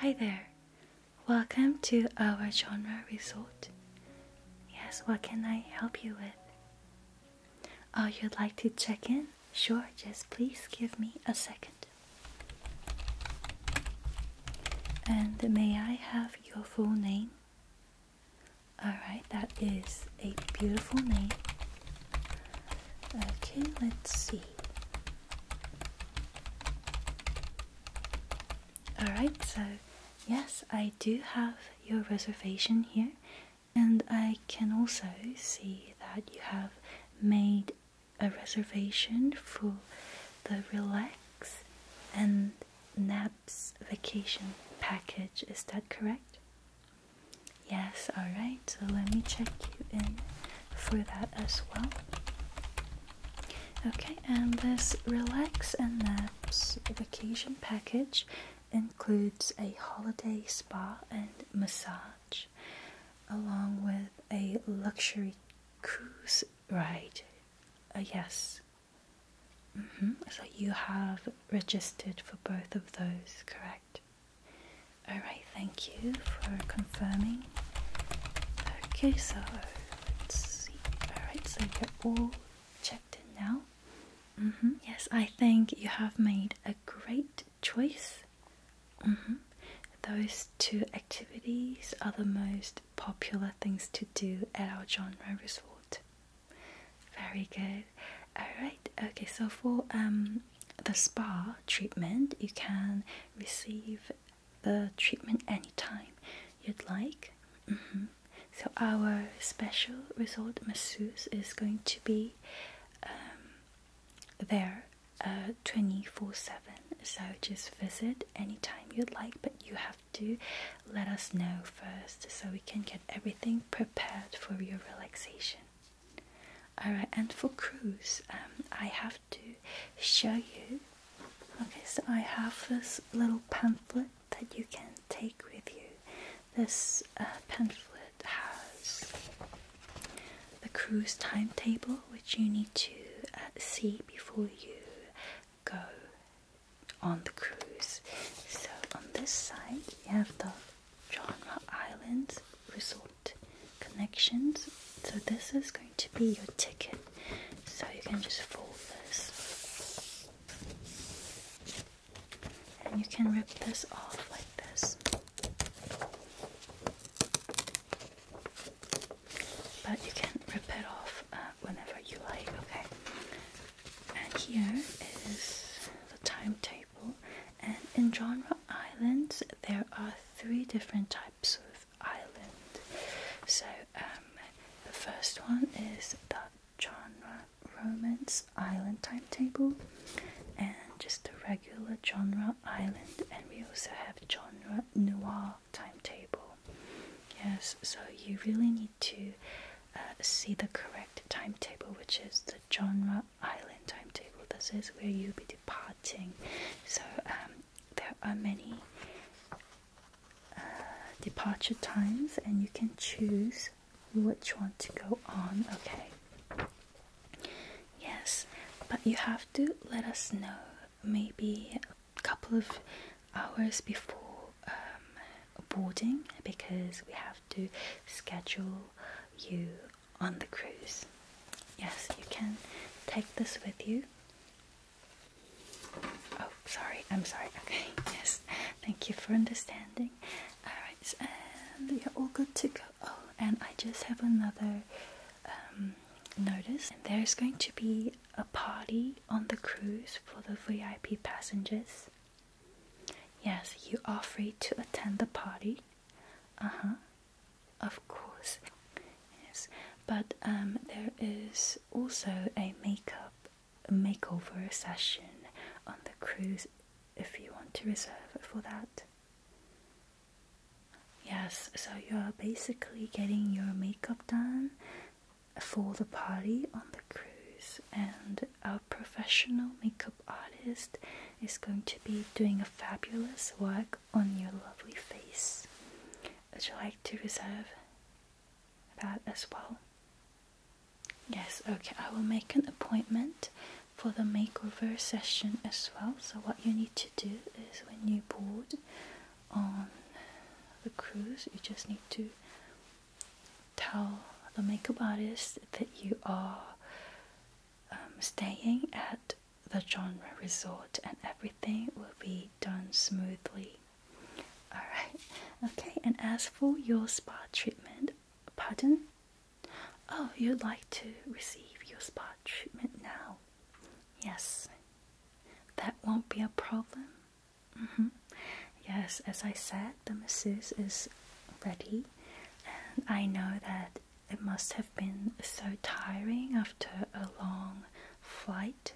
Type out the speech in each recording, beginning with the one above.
Hi there. Welcome to our genre resort. Yes, what can I help you with? Oh, you'd like to check in? Sure, just please give me a second. And may I have your full name? Alright, that is a beautiful name. Okay, let's see. Alright, so yes, I do have your reservation here, and I can also see that you have made a reservation for the Relax and Nap's vacation package. Is that correct? Yes, alright. So let me check you in for that as well. Okay, and this Relax and Naps vacation package includes a holiday spa and massage, along with a luxury cruise right? Uh, yes. So mm-hmm. you have registered for both of those, correct? All right, thank you for confirming. Okay, so let's see. All right, so you're all checked in now. Mm-hmm. Yes, I think you have made a great choice. Mm-hmm. Those two activities are the most popular things to do at our genre resort. Very good. Alright, okay, so for um, the spa treatment, you can receive the treatment anytime you'd like. Mm-hmm. So, our special resort masseuse is going to be um, there uh, 24 7 so just visit anytime you'd like but you have to let us know first so we can get everything prepared for your relaxation all right and for cruise um, i have to show you okay so i have this little pamphlet that you can take with you this uh, pamphlet has the cruise timetable which you need to uh, see before you go on the cruise. So on this side you have the Genre Islands Resort Connections. So this is going to be your ticket. So you can just fold this. And you can rip this off like this but you can rip it off uh, whenever you like, okay? And here is the timetable. And in genre islands, there are three different types of island. So um, the first one is the genre romance island timetable, and just the regular genre island. And we also have genre noir timetable. Yes, so you really need to uh, see the correct timetable, which is the genre island timetable. This is where you'll be departing. So um, there are many uh, departure times, and you can choose which one to go on. Okay. Yes, but you have to let us know maybe a couple of hours before um, boarding because we have to schedule you on the cruise. Yes, you can take this with you. Oh, sorry, I'm sorry. Okay, yes, thank you for understanding. Alright, and you're all good to go. Oh, and I just have another um, notice there's going to be a party on the cruise for the VIP passengers. Yes, you are free to attend the party. Uh huh. Of course. Yes, but um, there is also a makeup makeover session on the cruise if you want to reserve for that. Yes, so you are basically getting your makeup done for the party on the cruise, and our professional makeup artist is going to be doing a fabulous work on your lovely face. Would you like to reserve that as well? Yes, okay, I will make an appointment for the makeover session as well. So, what you need to do is when you board on the cruise, you just need to tell the makeup artist that you are um, staying at the genre resort and everything will be done smoothly. Alright, okay, and as for your spa treatment, pardon? Oh, you'd like to receive your spa treatment now. Yes, that won't be a problem. Mm-hmm. Yes, as I said, the masseuse is ready, and I know that it must have been so tiring after a long flight.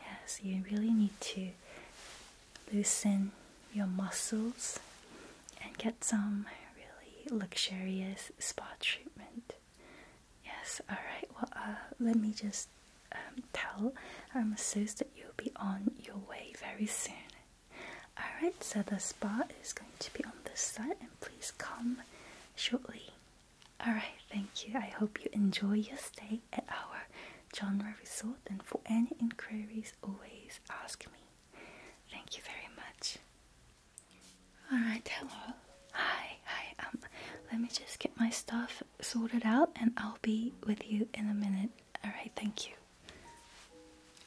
Yes, you really need to loosen your muscles and get some really luxurious spa treatment. Yes, alright. Well, uh, let me just um, tell. I'm masseuse that you'll be on your way very soon. Alright, so the spa is going to be on this side, and please come shortly. Alright, thank you. I hope you enjoy your stay at our genre resort, and for any inquiries, always ask me. Thank you very much. Alright, hello. Hi, hi. Um, let me just get my stuff sorted out and I'll be with you in a minute. Alright, thank you.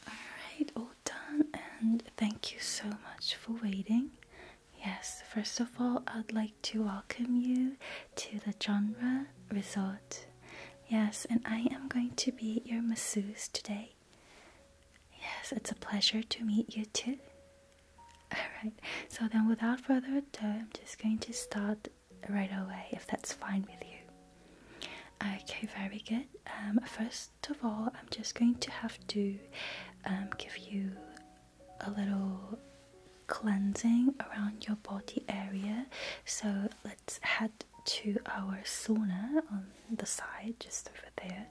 Alright, all done and thank you so much for waiting. Yes, first of all, I'd like to welcome you to the Genre Resort. Yes, and I am going to be your masseuse today. Yes, it's a pleasure to meet you too. Alright, so then without further ado, I'm just going to start right away if that's fine with you. Okay, very good. Um, first of all, I'm just going to have to um, give you a little cleansing around your body area. So let's head to our sauna on the side, just over there.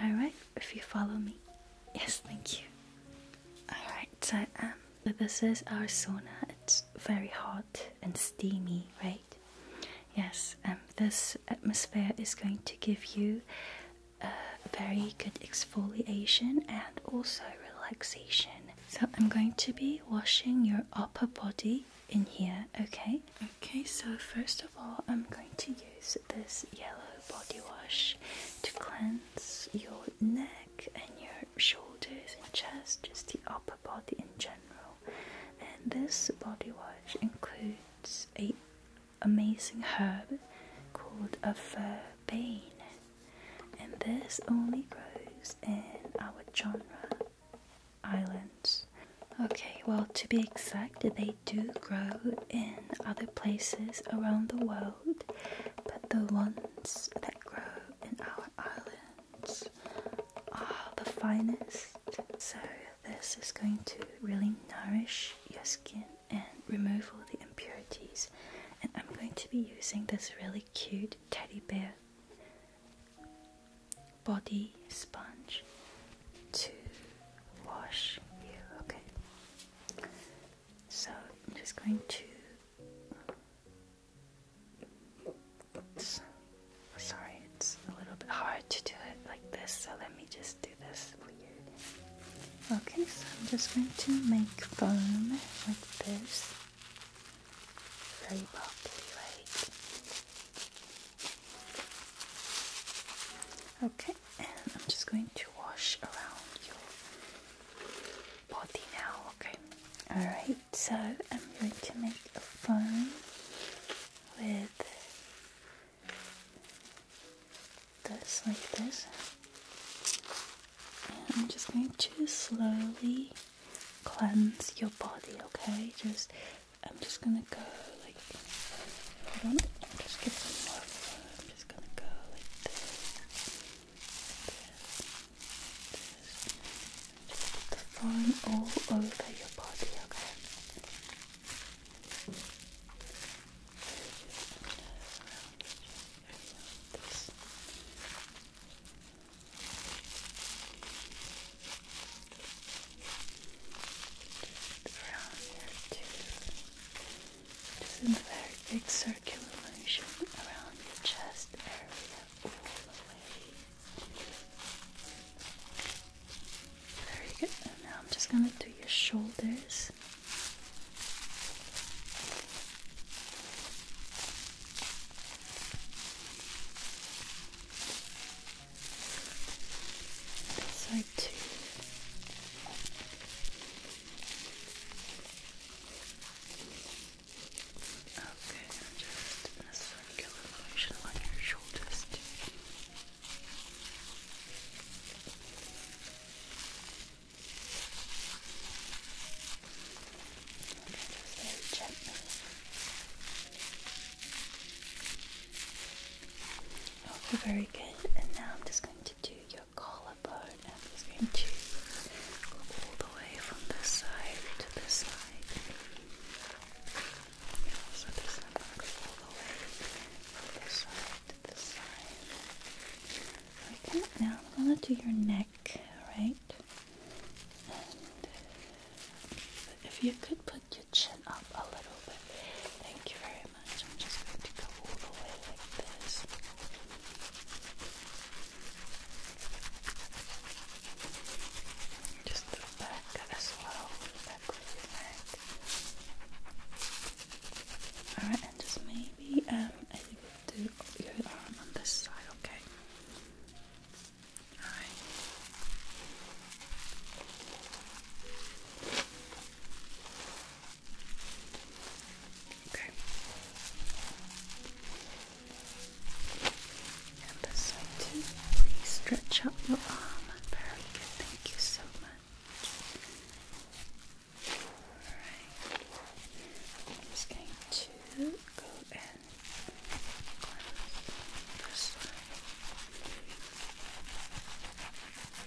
Alright, if you follow me. Yes, thank you. Alright, so um this is our sauna. It's very hot and steamy, right? Yes, um this atmosphere is going to give you a very good exfoliation and also relaxation. So I'm going to be washing your upper body in here, okay? Okay, so first of all, I'm going to use this yellow body wash to cleanse your neck and your shoulders and chest, just the upper body in general. And this body wash includes a amazing herb called a averbane, and this only grows in our genre islands. Okay, well, to be exact, they do grow in other places around the world, but the ones that grow in our islands are the finest. So, this is going to really nourish your skin and remove all the impurities. And I'm going to be using this really cute teddy bear body sponge to wash you. Okay. So I'm just going to. sorry, it's a little bit hard to do it like this, so let me just do this Okay, so I'm just going to make foam with this. Very bulky, right? Okay, and I'm just going to wash around your body now, okay? Alright, so I'm going to make a foam with this, like this. And I'm just going to slowly cleanse your body, okay? Just, I'm just gonna go just get some more I'm just gonna go like this, just put the foam all over your body, okay? This. around here too. Just is a very big circular motion around your chest area Very good. And now I'm just gonna do your shoulders side two. Okay, and just a circular motion on your shoulders Okay, very gently. Okay, very good. And now I'm just going to do your collarbone. I'm just going to go all the way from this side to this side. Yeah, so this I'm going to go all the way from this side to this side. Okay, now I'm going to do your neck, alright? And if you could put your chin up a little bit. Thank you very much. I'm just going to go all the way like this. Just the back as back of your neck. Alright, and just maybe um, do your arm on this side, okay? Alright. Okay. And Please stretch out your arm. Very good. Thank you so much. Alright. I'm just going to go and cleanse this side.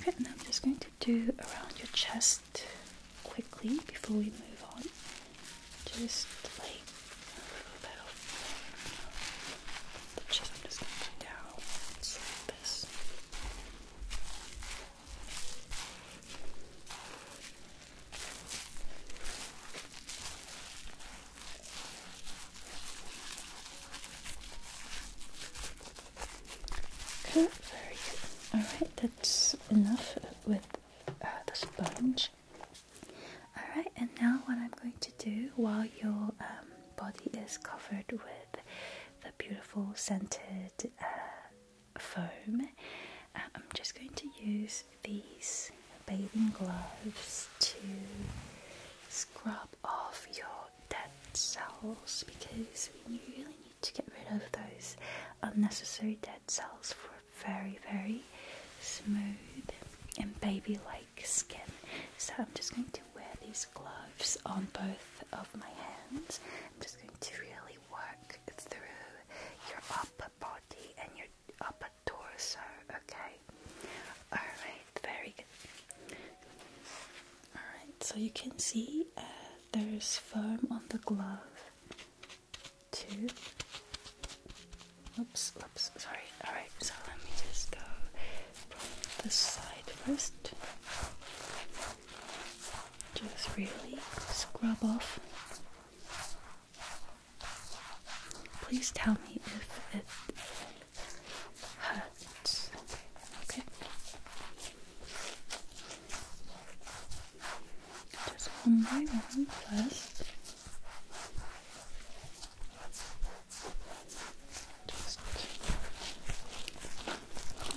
Okay, and I'm just going to do around your chest quickly before we move on. Just like a little bit of the chest. just going down like this. Okay, very good. Alright, that's enough with uh, the sponge. Alright, and now what I'm going to do while your um, body is covered with the beautiful scented uh, foam, uh, I'm just going to use these bathing gloves to scrub of your dead cells because you really need to get rid of those unnecessary dead cells for very, very smooth and baby like skin. So, I'm just going to wear these gloves on both of my hands. I'm just going to really work through your upper body and your upper torso, okay? Alright, very good. Alright, so you can see uh, there's foam on the glove too. Oops, oops, sorry. Alright, so let me just go from the side first. Just really scrub off. Please tell me if it hurts. Okay. Just one by one first. Just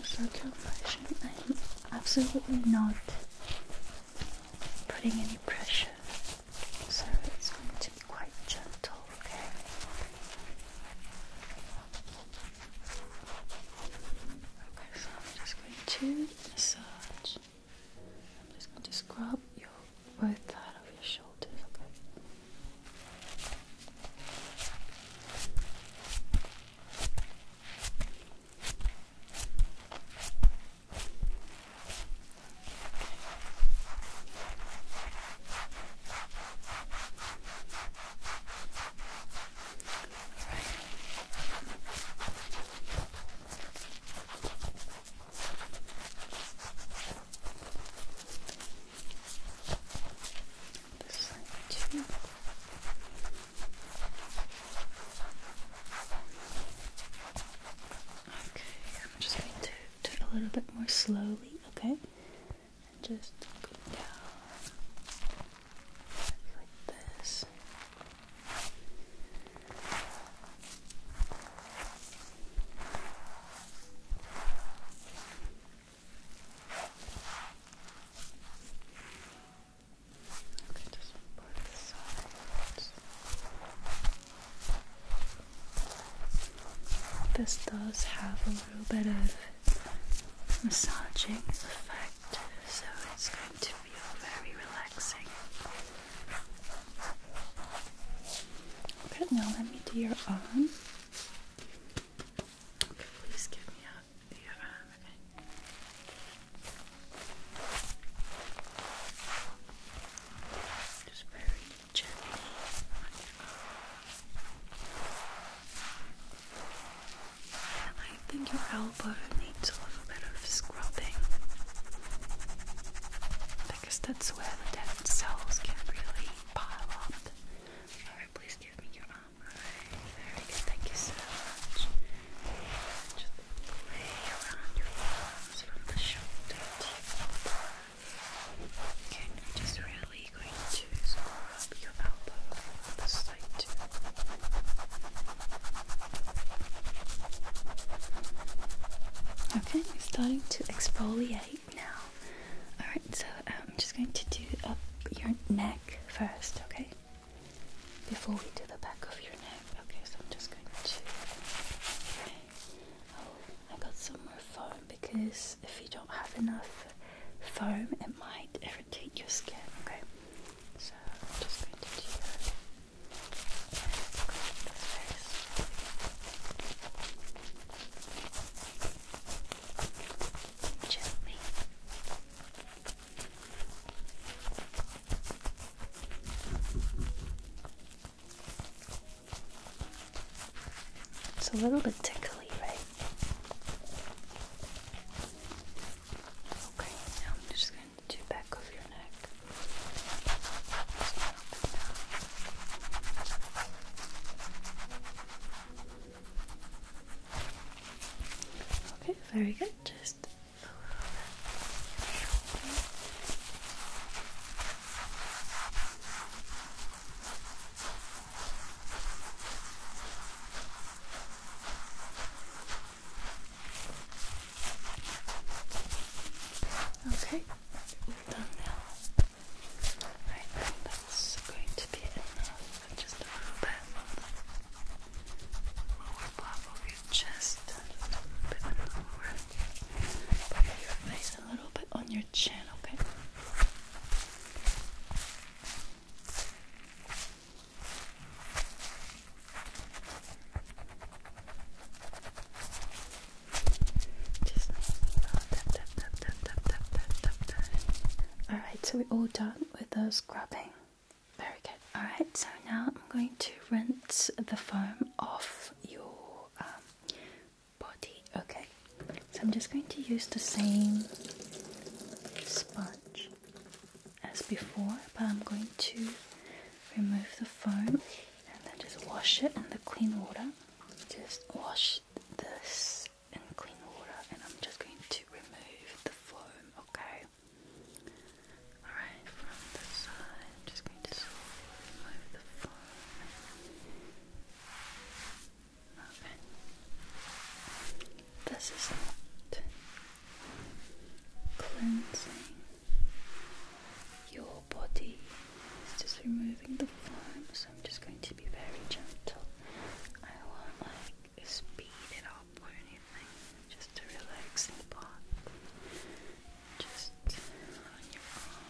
a circulation. I'm absolutely not putting any pressure so it's going to be quite gentle, okay? Okay, so I'm just going to massage. I'm just going to scrub your both out of your shoulders, okay? This side Okay, I'm just going to do it a little bit more slowly okay? just go down like this. Okay, just put side. This does have a little bit of massaging effect, so it's going to feel very relaxing. Okay, now let me do your arm. Okay, please give me your arm, okay? Just very I think your elbow needs a little bit of scrubbing because that's where the dead cells can really pile up. Alright, please give me your arm. very good. Thank you so much. And just lay around your arms from the shoulder to your elbow. Okay, I'm just really going to score your elbow Okay, starting to exfoliate now. Alright, so um, I'm just going to do up your neck first, okay? Before we do the back of your neck. Okay, so I'm just going to. Oh, I got some more foam because if you don't have enough foam, it might irritate your skin. Okay, so I'm just going to do it's a little bit tickly, right? Okay, now I'm just going to do back of your neck. Okay, very good. Just Okay, we that's going to be enough. Just a little bit on the your chest, a bit on the lower Put your eyes a little bit on your chin, okay? Alright, so we're all done with the scrubbing. Very good. Alright, so now I'm going to rinse the foam off your body. Okay, so I'm just going to use the same sponge as before, but I'm going to remove the foam and then just wash it in the clean water. Just wash this in clean water, and I'm just going to remove the foam, okay? Alright, from the side, I'm just going to remove the foam. This is not cleansing your body. It's just removing the foam, so I'm just going to be very gentle. I won't like speed it up or anything. Just a relaxing part. Just on your arm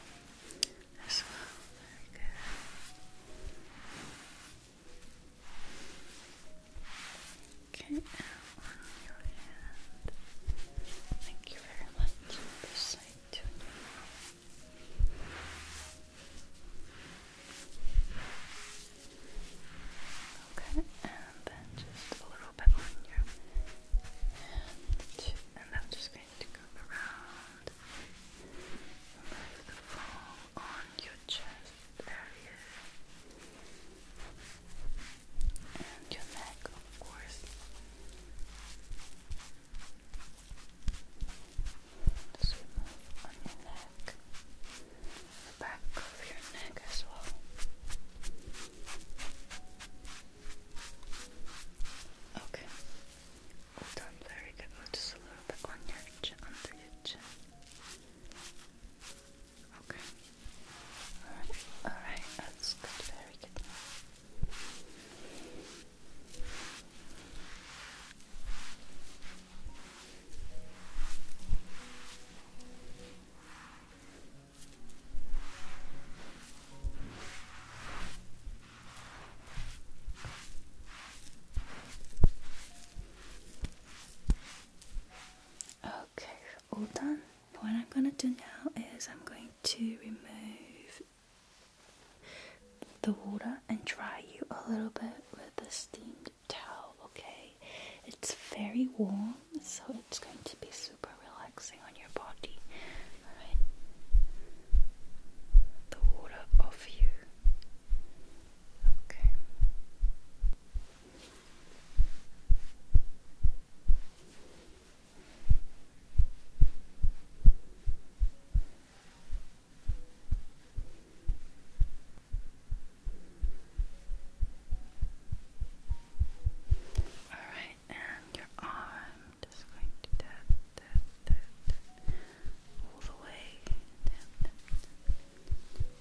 as well. Very good. Okay, on your hand. Thank you very much. This side too. Okay, and then just a little bit on your hand, and i just going to come around remove the foam on your chest area and your neck of course just on your neck the back of your neck as well. Okay. Well very good. just a little bit on your chin, under your chin. Okay. Alright, alright, that's good, very good. Okay, all done. What I'm going to do now is I'm going to remove the water and dry you a little bit with a steamed towel, okay? It's very warm, so it's going to be super relaxing on your body. Alright? The water off you. Okay. All right, and your arm, just going to tap, tap, tap, all the way,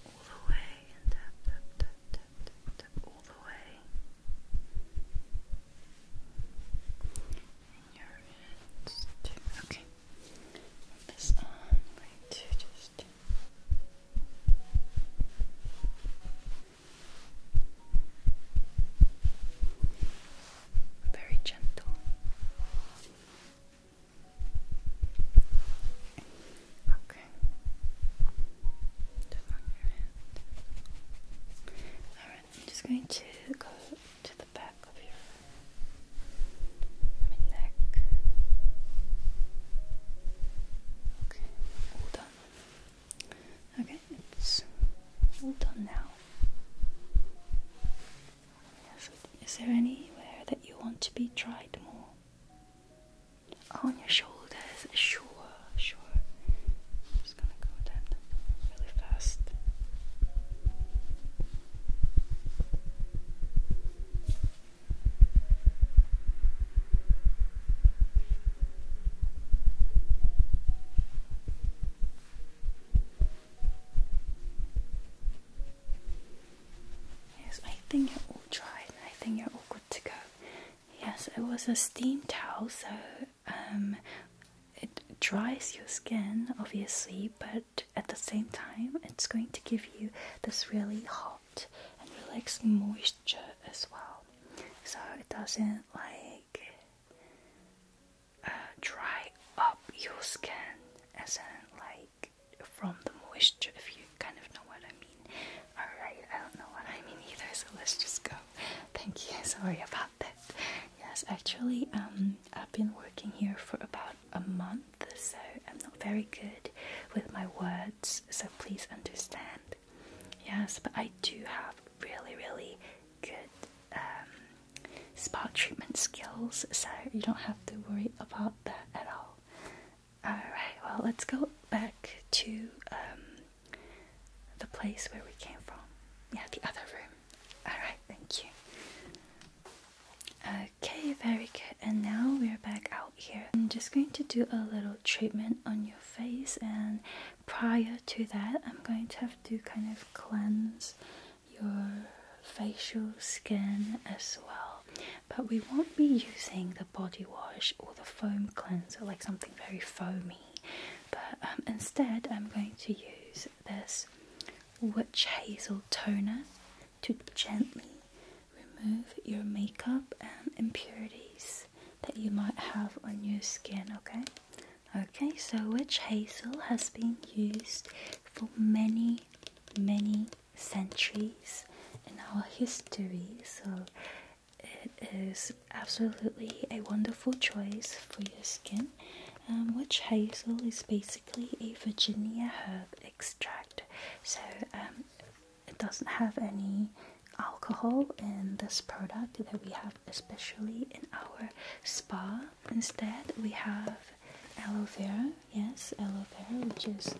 all the way, and tap, tap, tap, tap, all the way. And your wrists Okay, this on, going to just very gentle. Okay, Alright, I'm just going to go to the back of your neck. Okay, hold on. Okay, it's all done now. is there anywhere that you want to be tried more? On your shoulders, sure, sure. just gonna go down really fast. Yes, I think you all dried. I think you're all good to go. Yes, it was a steam towel, so um, it dries your skin, obviously, but at the same time, it's going to give you this really hot and relaxing moisture as well. So it doesn't like uh, dry up your skin as in like from the moisture if you kind of know what I mean. Alright, I don't know what I mean either, so let's just go. Thank you, sorry about that. Yes, actually, um I've been working here for about a month, so I'm not very good with my words, so please understand. Yes, but I do have really, really good um, spa treatment skills, so you don't have to worry about that at all. Alright, well, let's go back to um, the place where we came from. Yeah, the other room. Alright, thank you. Okay, very good. And now we're back out here. I'm just going to do a little treatment on your face and prior to that, I'm going to have to kind of cleanse your facial skin as well. But we won't be using the body wash or the foam cleanser, like something very foamy. But um, instead, I'm going to use this witch hazel toner to gently remove your makeup and impurities that you might have on your skin, okay? Okay, so witch hazel has been used for many, many centuries in our history, so it is absolutely a wonderful choice for your skin. Um, witch hazel is basically a Virginia herb extract, so um, it doesn't have any alcohol in this product that we have especially in our spa. Instead, we have aloe vera, yes, aloe vera, which is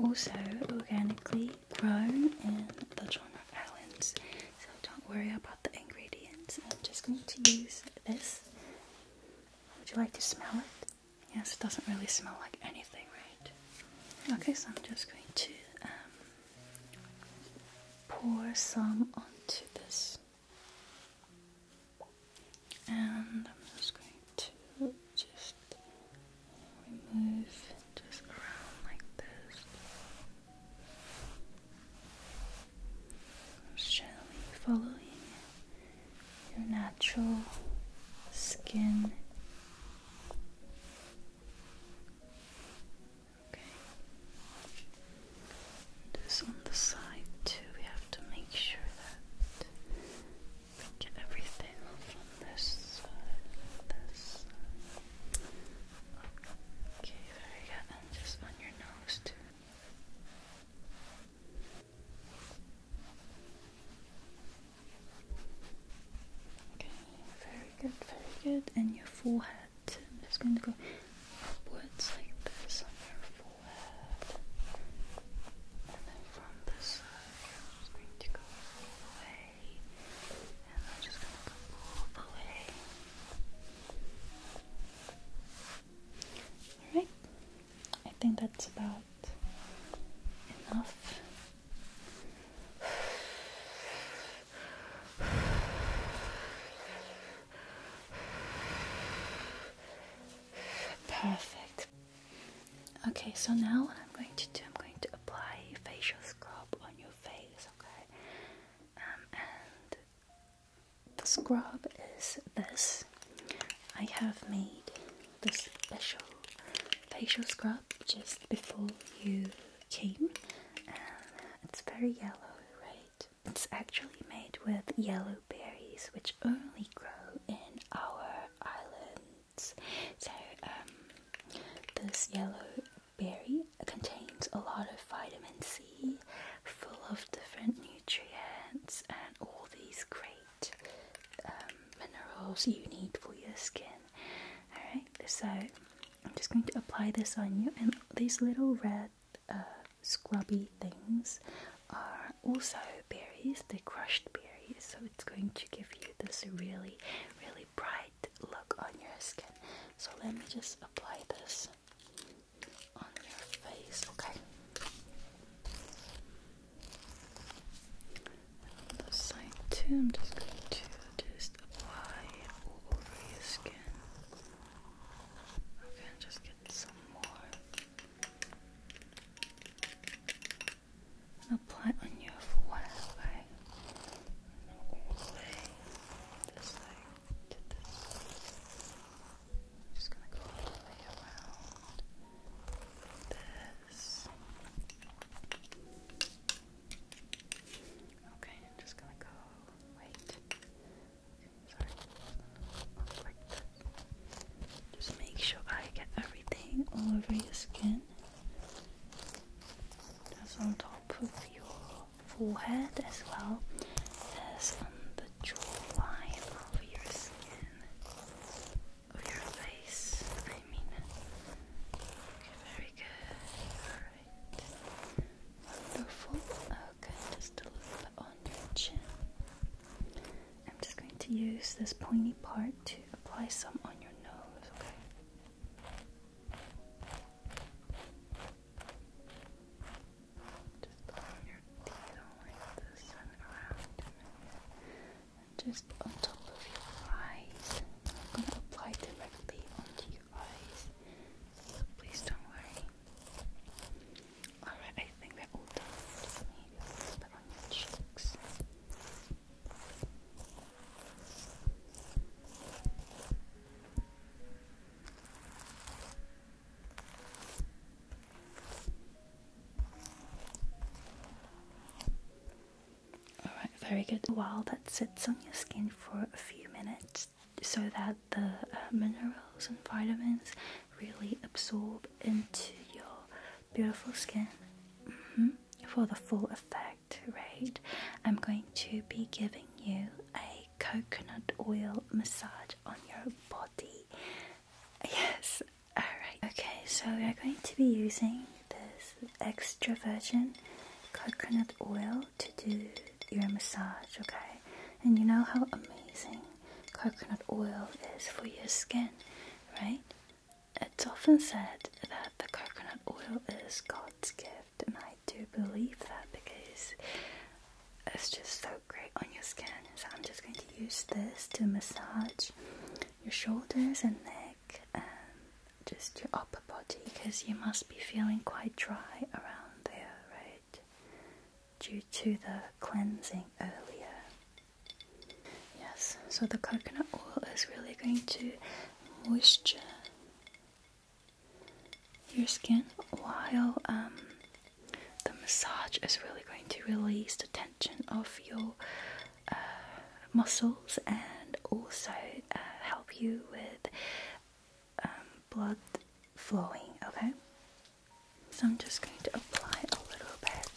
also organically grown in the Jonor Islands. So don't worry about the ingredients. I'm just going to use this. Would you like to smell it? Yes, it doesn't really smell like anything, right? Okay, so I'm just going to um, pour some onto this. And I'm just going to just remove just around like this. Gently following your natural skin Okay. This on the side too. We have to make sure that get everything off on this This. Okay, very good. just on your nose too. Okay, very good, very good. And your forehead. I'm just going to go upwards like this on your forehead. And then from this side, I'm just going to go all the way. And I'm just going to go all the way. Alright, I think that's about enough Perfect. Okay, so now what I'm going to do, I'm going to apply facial scrub on your face, okay? Um, and the scrub is this. I have made this special facial scrub just before you came it's very yellow, right? It's actually made with yellow berries which only grow in our islands. So um, this yellow berry contains a lot of vitamin C, full of different nutrients and all these great um, minerals you need for your skin. Alright, so I'm just going to apply this on you, and these little red uh, scrubby things are also berries, they're crushed berries, so it's going to give you this really, really bright look on your skin. So let me just apply this on your face, okay? And side too, I'm just going to just apply all over your skin. Okay, just get some more. apply on your forehead, All the way this side to this. I'm just gonna go all the way around this. Okay, I'm just gonna go. Wait. Sorry. just make sure I get everything all over your skin. Just on top of your forehead as well as on the jawline of your skin. Of your face, I mean. Alright. Wonderful. Okay, just a little bit on your chin. I'm just going to use this pointy part to apply some on your nose, okay? Just put your teeth on like this and around and just on top of your eyes. I'm gonna apply directly onto your eyes, so please don't worry. Alright, I think we're all done. Just maybe a little bit on your cheeks. Alright, very good. While that sits on your skin for a few minutes so that the uh, minerals and vitamins really absorb into your beautiful skin mm-hmm. for the full effect, right? I'm going to be giving you a coconut oil massage on your body. Yes, alright. Okay, so we're going to be using this extra virgin coconut oil to do your massage, okay? And you know how amazing coconut oil is for your skin, right? It's often said that the coconut oil is God's gift, and I do believe that because it's just so great on your skin. So I'm just going to use this to massage your shoulders and neck just your upper body because you must be feeling quite dry around there, right? Due to the cleansing earlier. Yes, so the coconut oil is really going to moisturize your skin while um, the massage is really going to release the tension of your uh, muscles and also uh, help you with um, blood flowing, okay? So I'm just going to apply a little bit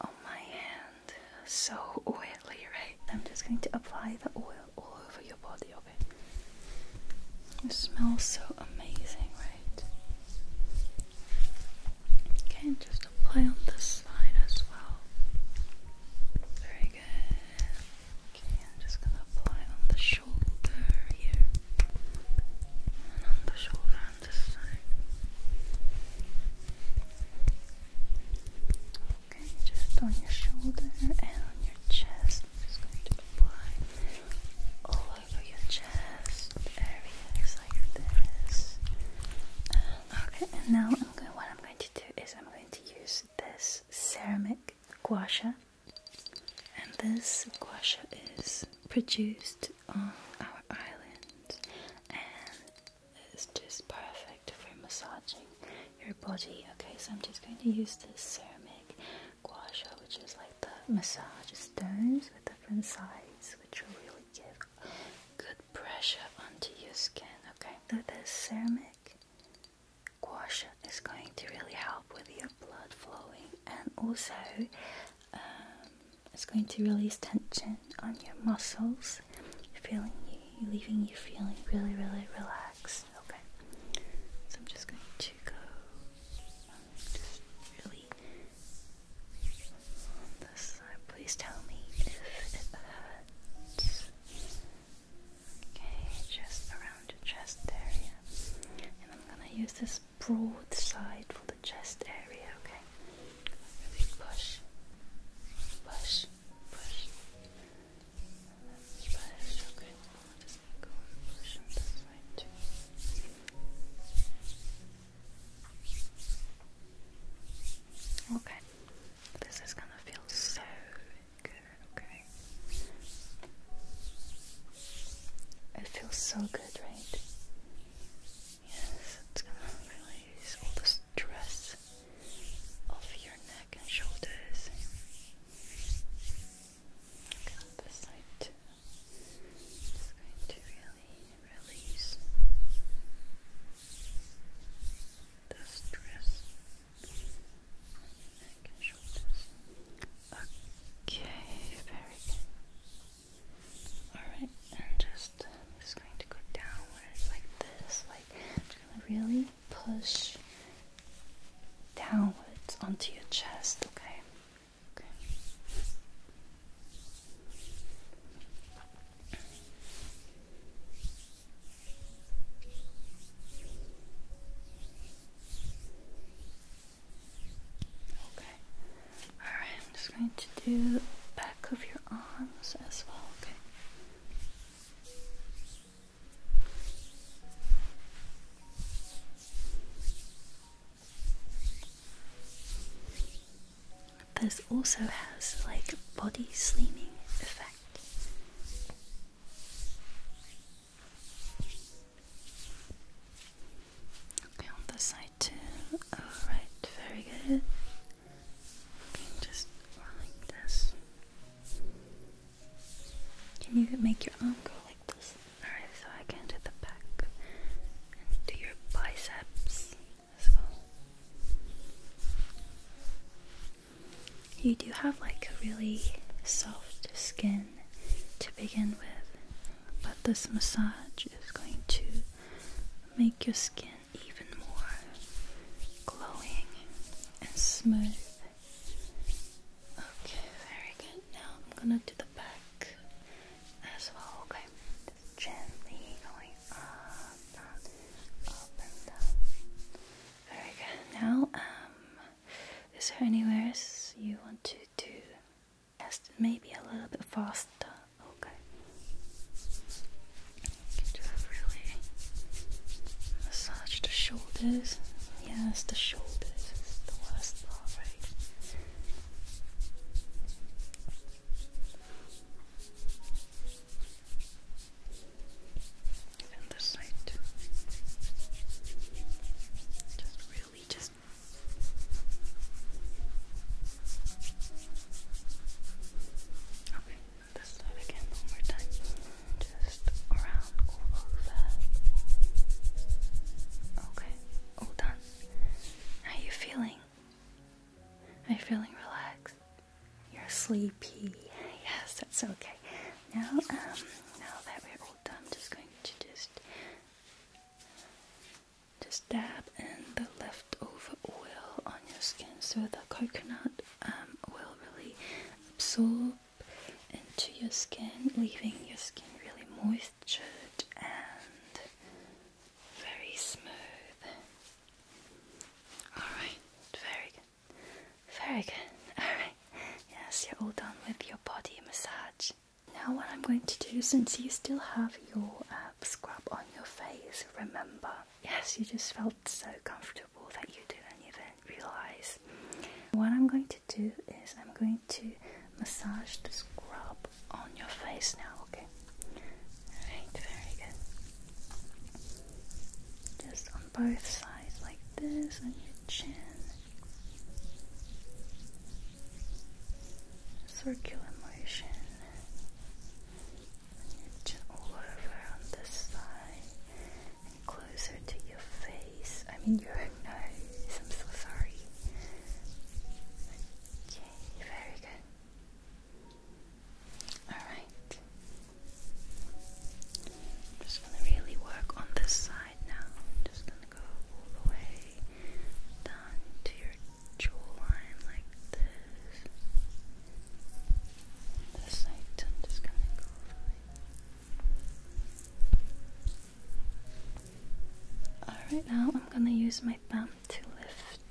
on my hand. So oily, right? I'm just going to apply the oil all over your body, okay? It smells so amazing, right? Okay, just just apply on this side as well. Very good. Okay, I'm just gonna apply on the shoulder here. And on the shoulder on this side. Okay, just on your shoulder and on your chest. just going to apply all over your chest areas like this. okay, and now I'm going, what I'm going to is I'm going to use this ceramic guasha, and this guasha is produced on our island, and it's just perfect for massaging your body. Okay, so I'm just going to use this ceramic guasha, which is like the massage stones with different sides, which are really good good pressure onto your skin, okay? So this ceramic gouache is going to really help with your blood flowing and also um, it's going to release tension on your muscles, feeling leaving you feeling really, really relaxed, okay? So I'm just going to go, um, Please tell me if it hurts. Okay, just around your chest area. And I'm gonna use this broad side for the chest area, okay? push, push, push, Okay, this is gonna feel so good, okay? It feels so good, right? Yes, it's gonna release all the stress off your neck and shoulders. Okay, this side too. It's going to really release the stress on neck and shoulders. Okay, very good. Alright, and just, just going to go downwards like this. Like, just really push downwards onto your chest, okay? Okay. Okay. Alright, I'm just going to do back of your arms as well, okay? this also has like body slimming effect. Okay, on this side too. Alright, very good. Okay, just like this. Can you make your arm go like this? Alright, so I can do the back and do your biceps as You do have like a really soft skin to begin with, but this massage is going to make your skin even more glowing and smooth. Okay, very good. Now I'm gonna do the back as well, okay? gently going up, up and down. Very good. Now, um, is there anywhere else you want to do? Just maybe a little bit faster. Okay. just really massage the shoulders. Yes, the shoulders is the worst part, right? And this side Just really just Okay, this side again one more time. Just around all of Okay, all done. How are you feeling? Are you feeling relaxed? You're sleepy. Yes, that's okay. Now, um, now that we're all done, I'm just going to just just dab in the leftover oil on your skin so the coconut um, will really absorb into your skin, leaving your skin really moisturized and very smooth. Alright, very good. Very good. Alright. Yes, you're all done with your body massage. Now, what I'm going to do, since you still have your uh, scrub on your face, remember, yes, you just felt so comfortable that you didn't even realize. What I'm going to do is I'm going to massage the scrub on your face now, okay? Alright, very good. Just on both sides, like this, on your chin. Circular motion. all over on this side. And closer to your face. I mean, your nose. I'm so sorry. Okay, very good. Alright. just going to really work on this side now. just going to go all the way down to your jawline like this. This side, just going to go Alright, now I'm going to use my thumb to lift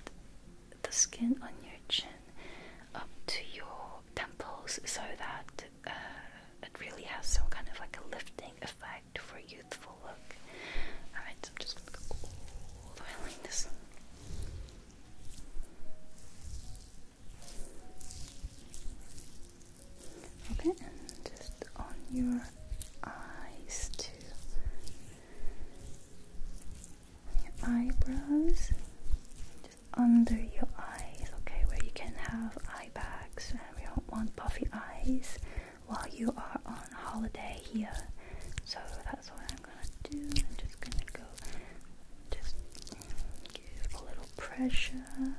the skin on your chin up to your temples so that uh, it really has some kind of like a lifting effect for youthful look. Alright, so I'm just gonna go all the way like this. Okay, and just on your eyes too your eyebrows, just under your eyes, okay, where you can have eye bags and we don't want puffy eyes while you are on holiday here. So that's what I'm gonna do. I'm just gonna go just give a little pressure.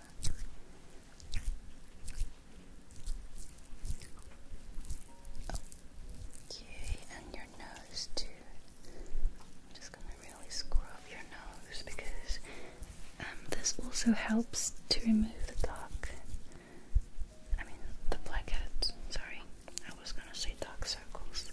Okay, and nose too. just gonna really scrub your nose because um, this also helps to remove the dark. I mean, the blackheads. Sorry, I was gonna say dark circles.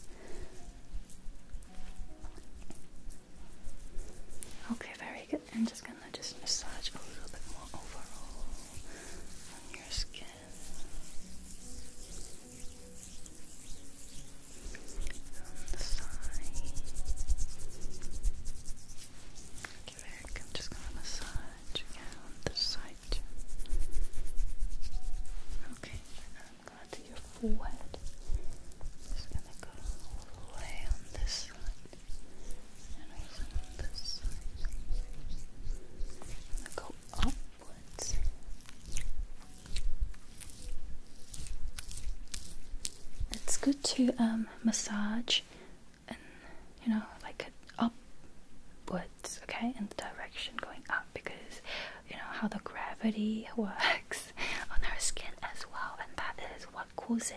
Okay, very good. I'm just gonna just massage a little bit more overall on your skin on the side. Okay, very good. just gonna massage again on this side too. Okay, I'm gonna your forehead. just gonna go all the way on this side and on this side. I'm gonna go up. It's good to um, massage and you know like upwards, okay, in the direction going up because you know how the gravity works on our skin as well, and that is what causes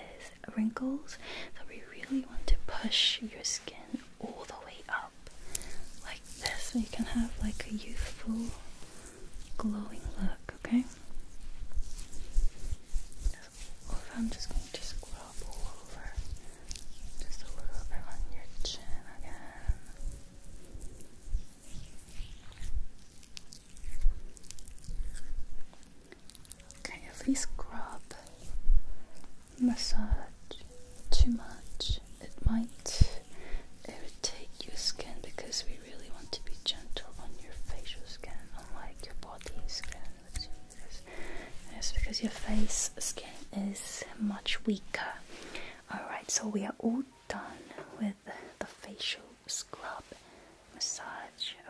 wrinkles. So we really want to push your skin all the way up like this so you can have like a youthful glowing look, okay? So I'm just going to scrub all over just a little bit on your chin again. Okay, at least scrub massage too much, it might irritate your skin because we really want to be gentle on your facial skin, unlike your body skin. Yes, because your face skin is much weaker. Alright, so we are all done with the facial scrub massage.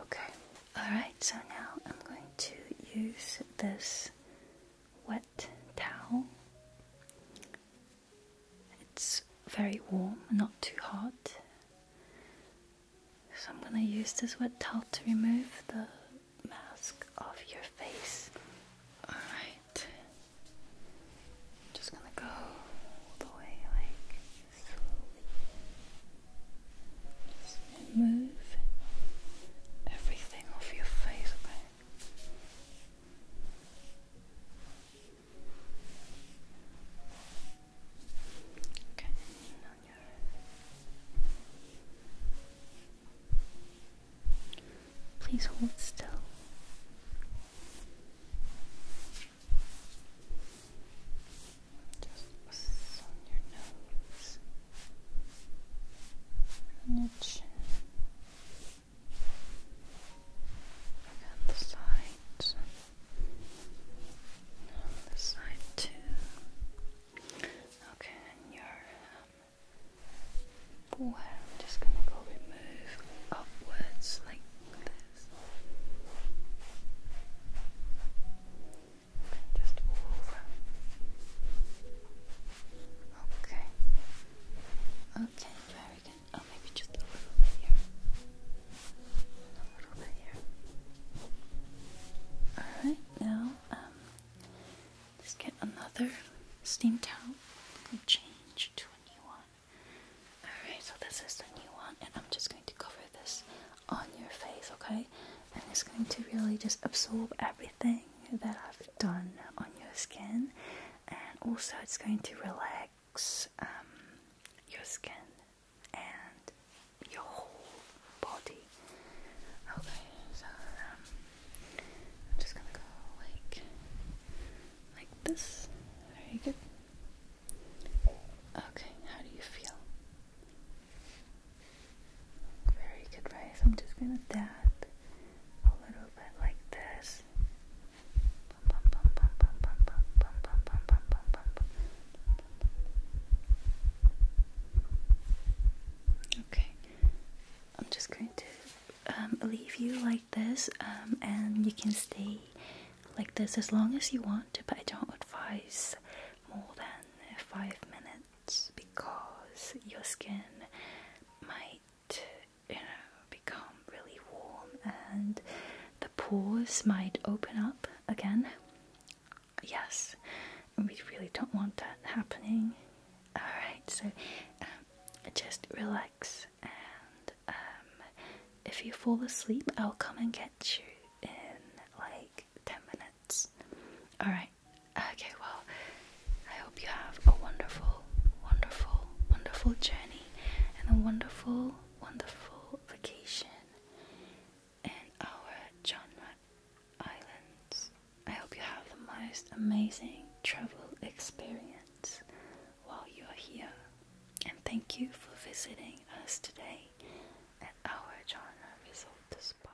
Okay. Alright, so now I'm going to use this wet towel. It's very warm, not too hot. So I'm gonna use this wet towel to remove the mask off your face. Alright. Just gonna go all the way like slowly. Just remove everything off your face. Please hold still. Just on your nose and the sides the side too okay, and your um, I'm just gonna go remove upwards like this just over Okay. Okay, very good. Oh, maybe just a little bit here. A little bit here. Alright, now, um, let's get another steam towel. and change to a new one. Alright, so this is the new one, and I'm just going to cover this on your face, okay? And it's going to really just absorb everything that I've done on your skin, and also it's going to relax um, your skin and your whole body. Okay, so um, I'm just gonna go like like this. Very good. Okay, how do you feel? Very good, right? So I'm just gonna tap a little bit like this. Okay, I'm just going to um, leave you like this, um, and you can stay like this as long as you want, but I don't advise more than five minutes because your skin might, you know, become really warm and the pores might open up again. Yes, we really don't want that happening. Alright, so um, just relax and um, if you fall asleep, I'll come and get you in like 10 minutes. Alright. Okay, well, I hope you have a wonderful, wonderful, wonderful journey and a wonderful, wonderful vacation in our genre islands. I hope you have the most amazing travel experience while you are here. And thank you for visiting us today at our genre resort spa.